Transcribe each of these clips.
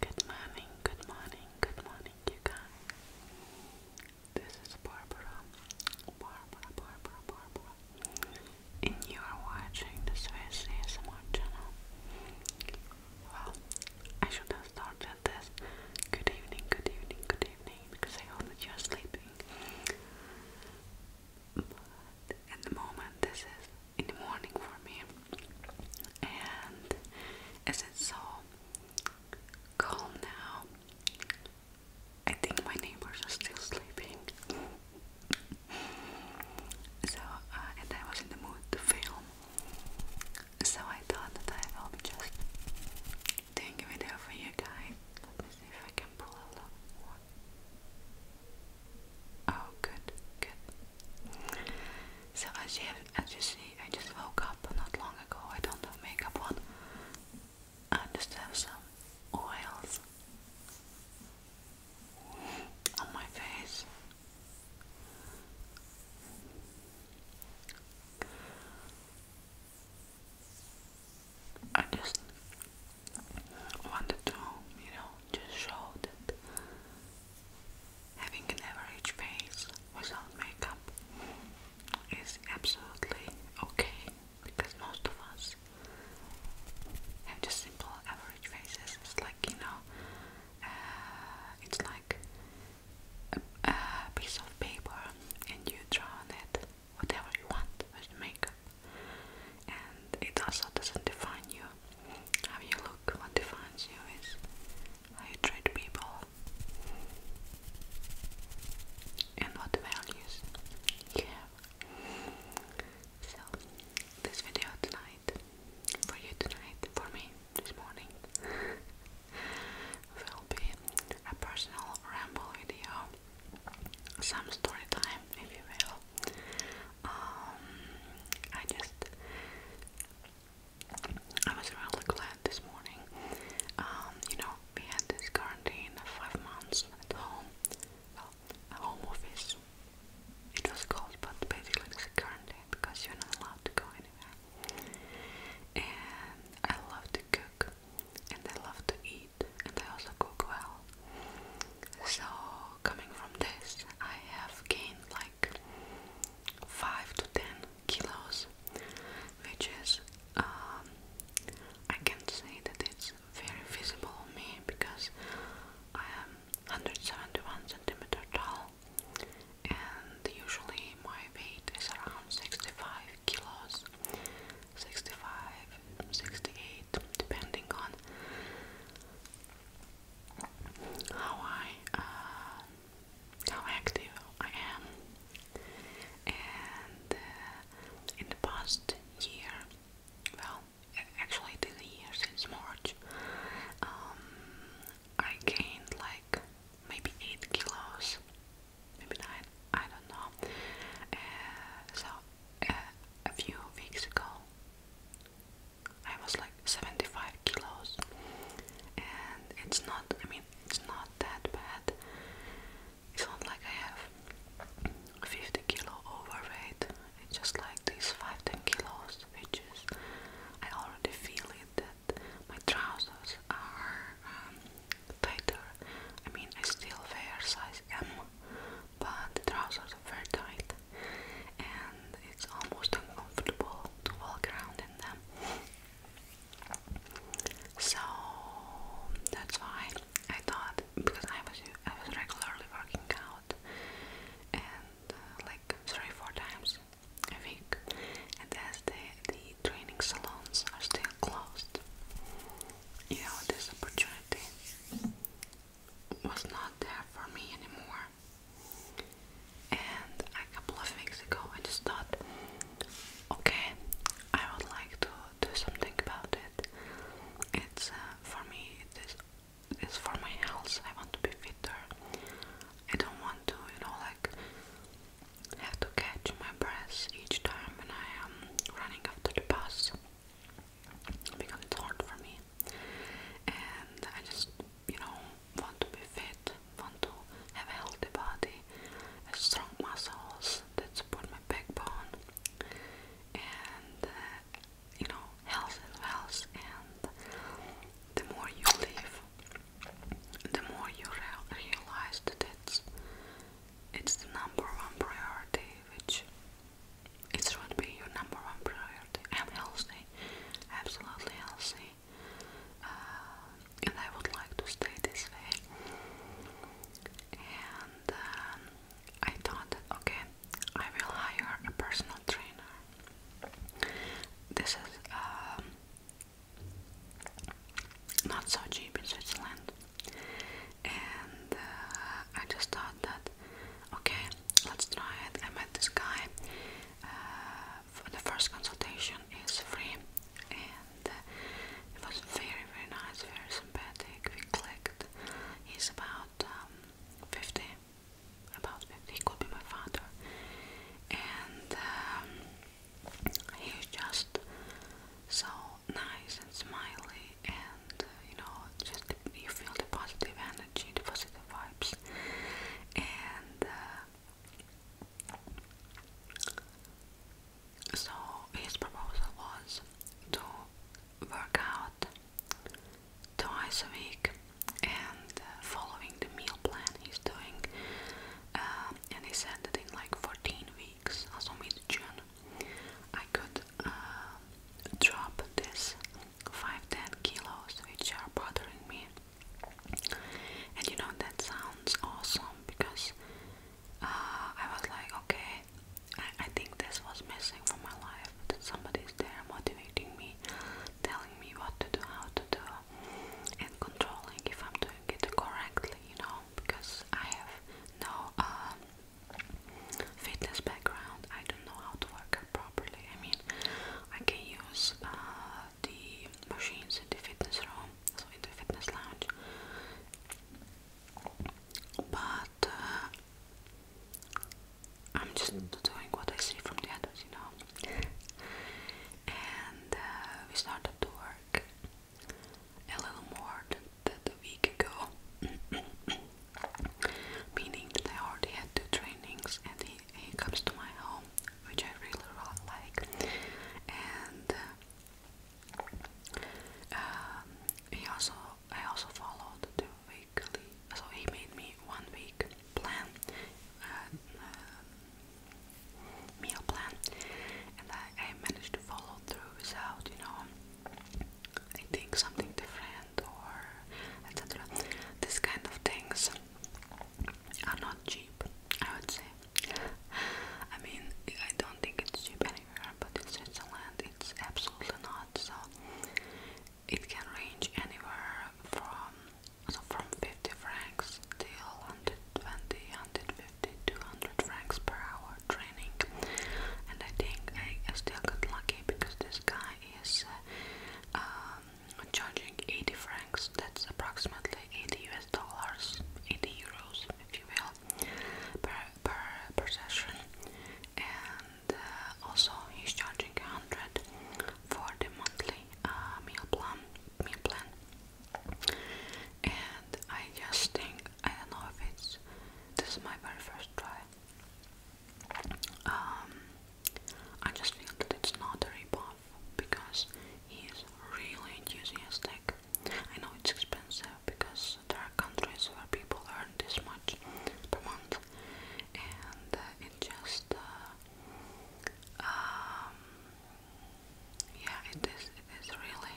Good morning, good morning, good morning, you guys. This is Barbara, Barbara, Barbara, Barbara, and you are watching the Swiss ASMR channel. Well, I should have started this. Good evening, good evening, good evening, because I hope that you are sleeping but at the moment this is in the morning for me and as it's so calm now I think my neighbors are still sleeping so uh, and I was in the mood to film so I thought that I will be just doing a video for you guys let me see if I can pull a lot Oh, good, good. So as you as you see, I just woke up not long ago. I don't have makeup on. I just have some oils on my face. I just wanted to, you know, just show that having an average face without makeup is absolutely okay because most of us have just simple average faces. It's like, you know, uh, it's like a piece of paper and you draw on it whatever you want with And it also doesn't define you. How you look, what defines you is how you treat people and what values you have. So, this video tonight, for you tonight, for me this morning, will be a personal ramble video some story time, if you will. Um, I just, I was really glad this morning. Um, you know, we had this quarantine of five months at home. Well, home office. It was called, but basically it a quarantine because you're not allowed to go anywhere. And I loved cook and I love to eat and I also cook well. So coming from this I have gained like 5 to 10 kilos which is um, I can say that it's very visible on me because I am 171 centimeter tall and usually my weight is around 65 kilos 65, 68, depending on how I uh, how active I am. And uh, in the past year, well, actually it is a since March, um, I gained like maybe 8 kilos, maybe 9, I don't know. Uh, so, uh, a few weeks ago, I was like 75 kilos, and it's not, I mean, it's not that bad. It's not like I have 50 kilo overweight, it's just like these 5-10 kilos, which is, I already feel it my trousers are um, tighter. I mean, I still wear size M, but the trousers are very tight, and it's almost uncomfortable to walk around in them. So that's why I thought because I was I was regularly working out and uh, like three four times a week, and as the the training salons are still closed. You know, this opportunity was not there for me anymore. And a couple of weeks ago, I just thought, okay, I would like to do something about it. It's uh, for me, it is, it's for my health. I want to be fitter. I don't want to, you know, like have to catch my breath each time when I am um, running after the bus because it's hard for me. And I just, you know, want to be fit, want to have a healthy body, a strong muscles that support my backbone, and uh, you know, health is wealth. And the more you live, the more you realize that it's, it's the number one priority, which it should be your number one priority. I'm healthy, absolutely healthy, uh, and I would like to stay this way. And um, I thought, that, okay, I will hire a personal trainer. This is um, not so cheap in Switzerland. And uh, I just thought that, okay, let's try it. I met this guy. Uh, for the first consultation is free, and uh, it was very, very nice, very sympathetic. We clicked. He's about um, 50, about 50, he could be my father. And um, he's just so nice and smiley, and uh, you know, just you feel the positive energy, the positive vibes. And uh, so his proposal was to work out twice a week and uh, following the meal plan he's doing. Uh, and he said that in like 14 weeks, also mid June, I could uh, drop this 5-10 kilos which are bothering me. And you know, that sounds awesome because I was like, okay, I, think this was missing from my life that somebody's there motivating me, telling me what to do, how to do, and controlling if I'm doing it correctly, you know, because I have no um, fitness background. I don't know how to work properly. I mean, I can use uh, the machines in the fitness room, so in the fitness lounge, but uh, I'm just doing what I see from the others, you know. and uh, we started to work a little more than, than a week ago, meaning that I already had two trainings, and he, comes to my home, which I really, really like. And uh, um, he also, I also followed the so he made me one week plan, uh, uh, meal plan, and I, I managed to follow through without, you know, eating something different or etc. This kind of things are not cheap, I would say. I mean, I don't think it's cheap anywhere, but in Switzerland it's absolutely not. So it can range anywhere from so from 50 francs till 120, 150, 200 francs per hour training. And I think I, I still got lucky because this guy is uh, um, charging 80 francs. That's approximately 80 US dollars, 80 euros, if you will, per per, session. Uh, also he's charging 100 for the monthly uh, meal plan meal plan and I just think I don't know if it's this is my very first try um, I just feel that it's not a ripoff because he is really enthusiastic I know it's expensive because there are countries where people earn this much per month and uh, it just uh, um, yeah it is it is really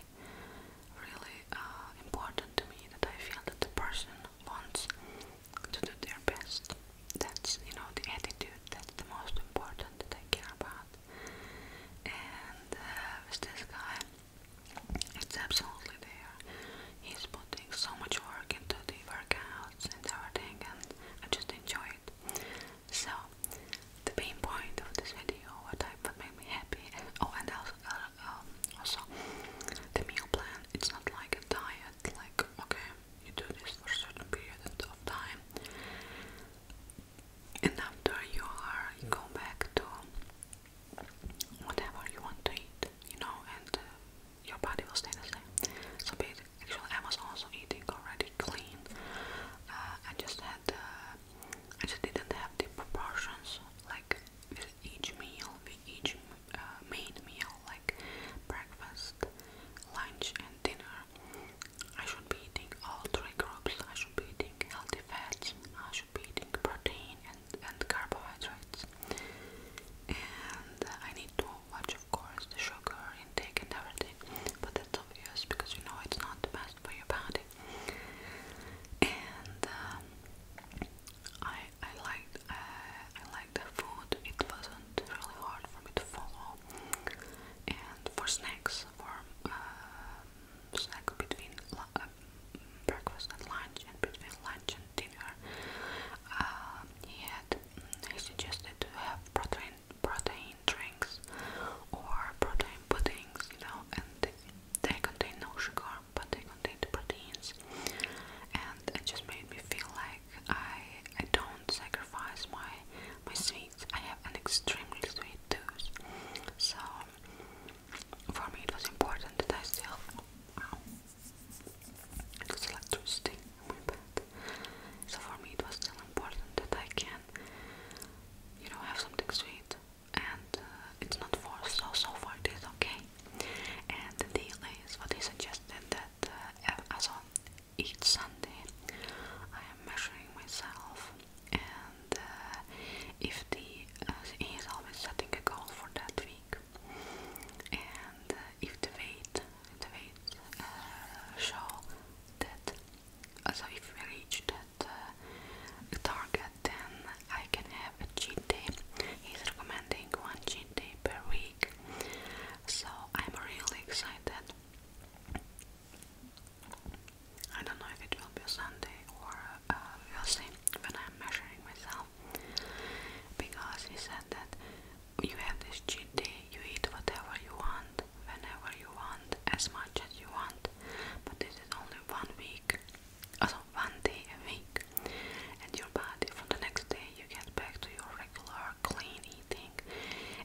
really uh, important to me that I feel that the person wants to do their best that's you know the attitude that's the most important that I care about and uh, with this guy it's absolutely there. He's putting so much work into the workouts and everything, and I just enjoy it. So, the main point of this video, what I what made me happy, oh, and also, uh, um, also the meal plan. It's not like a diet, like okay, you do this for a certain period of time, and after you are you go back to whatever you want to eat, you know, and uh, your body will stay the same. So, actually, I was also eating already clean. Uh, I just had, uh, I just didn't have the proportions like with each meal, with each main meal, like breakfast, lunch, and dinner. I should be eating all three groups. I should be eating healthy fats. I should protein and, and carbohydrates. And uh, I need to watch, of course, the sugar intake and everything, but that's obvious because you know it's not the best for your body. And um, I I liked uh, I liked the food. It wasn't really hard for me to follow. And for snacks, for um, between um, breakfast and lunch, and between lunch and dinner, uh, he had he suggested to have protein protein drinks or protein puddings, you know, and they, contain no sugar, but they contain proteins, and it just made me feel like I I don't sacrifice my my sweets. I have an extremely sweet tooth, so for me it was important that I still wow electricity so for me it was still important that I can you know have something sweet and uh, it's not so so far it is okay and the deal is what he suggested that uh, each Sunday I am measuring myself and uh, if the uh, is always setting a goal for that week, and uh, if the weight the weight uh, show that so if we reach that uh, target, then I can have a cheat day. He's recommending one cheat day per week, so I'm really excited. I don't know if it will be Sunday or uh, we'll see when I'm measuring myself because he said that you have this cheat day, you eat whatever you want, whenever you want, as much as you want, but this is only one week, also one day a week, and your body from the next day you get back to your regular clean eating.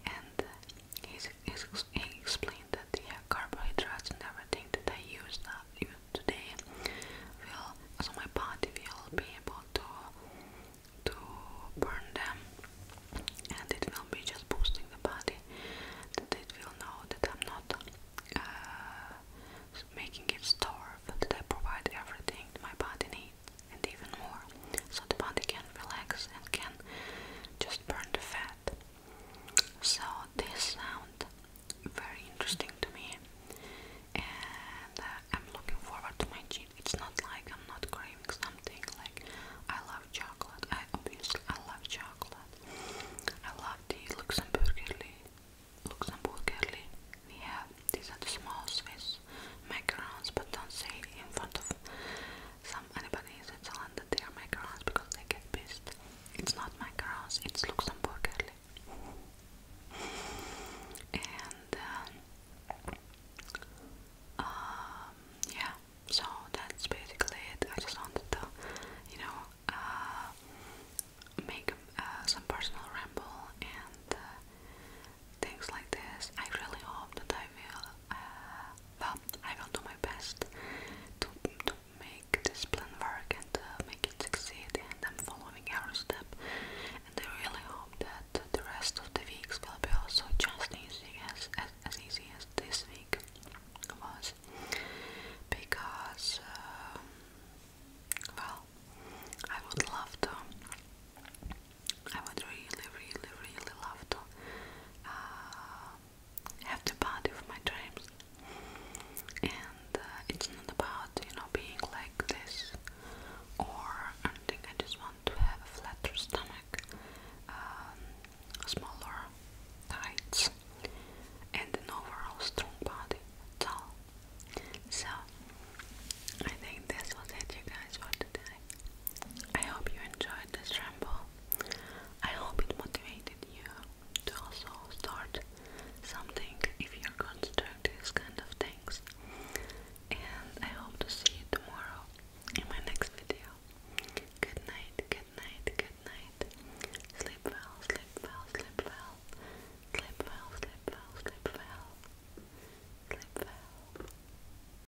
And uh, he, he explained that the the carbohydrates and everything that I use now, even today will so my body will be able to to burn them and it will be just boosting the body that it will know that I'm not uh, making it starve that I provide everything my body needs and even more so the body can relax and can just burn the fat so this sounds very interesting to me, and uh, I'm looking forward to my cheat. It's not like I'm not craving something. Like I love chocolate. I obviously I love chocolate. I love the Luxembourgerly. Luxembourgerly. We have these are the small Swiss macarons, but don't say in front of some Lebanese in Zalanda, they are my girls because they get pissed. It's not my girls, it's Luxembourg girly. And um, um, yeah, so that's basically it. I just wanted to, you know, uh, make uh, some personal ramble and uh, things like this. I really hope that I will uh, well, I will do my best to, to make this plan work and uh, make it succeed and I'm following every step and I really hope that the rest of the weeks will be also just easy as, as, as easy as this week was because uh, well, I would love to I would really, really, really love to have the body of my dreams. And uh, it's not about, you know, being like this or anything. I just want to have a flatter stomach, um, smaller tights, and an overall strong body. That's So, I think that's was it, you guys, for today. I hope you enjoyed this ramble. I hope it motivated you to also start something if you're going these kind of things. And I hope to see you tomorrow in my next video. Good night, good night, good night. sleep well, sleep well. Sleep well, sleep well, sleep well. Sleep well.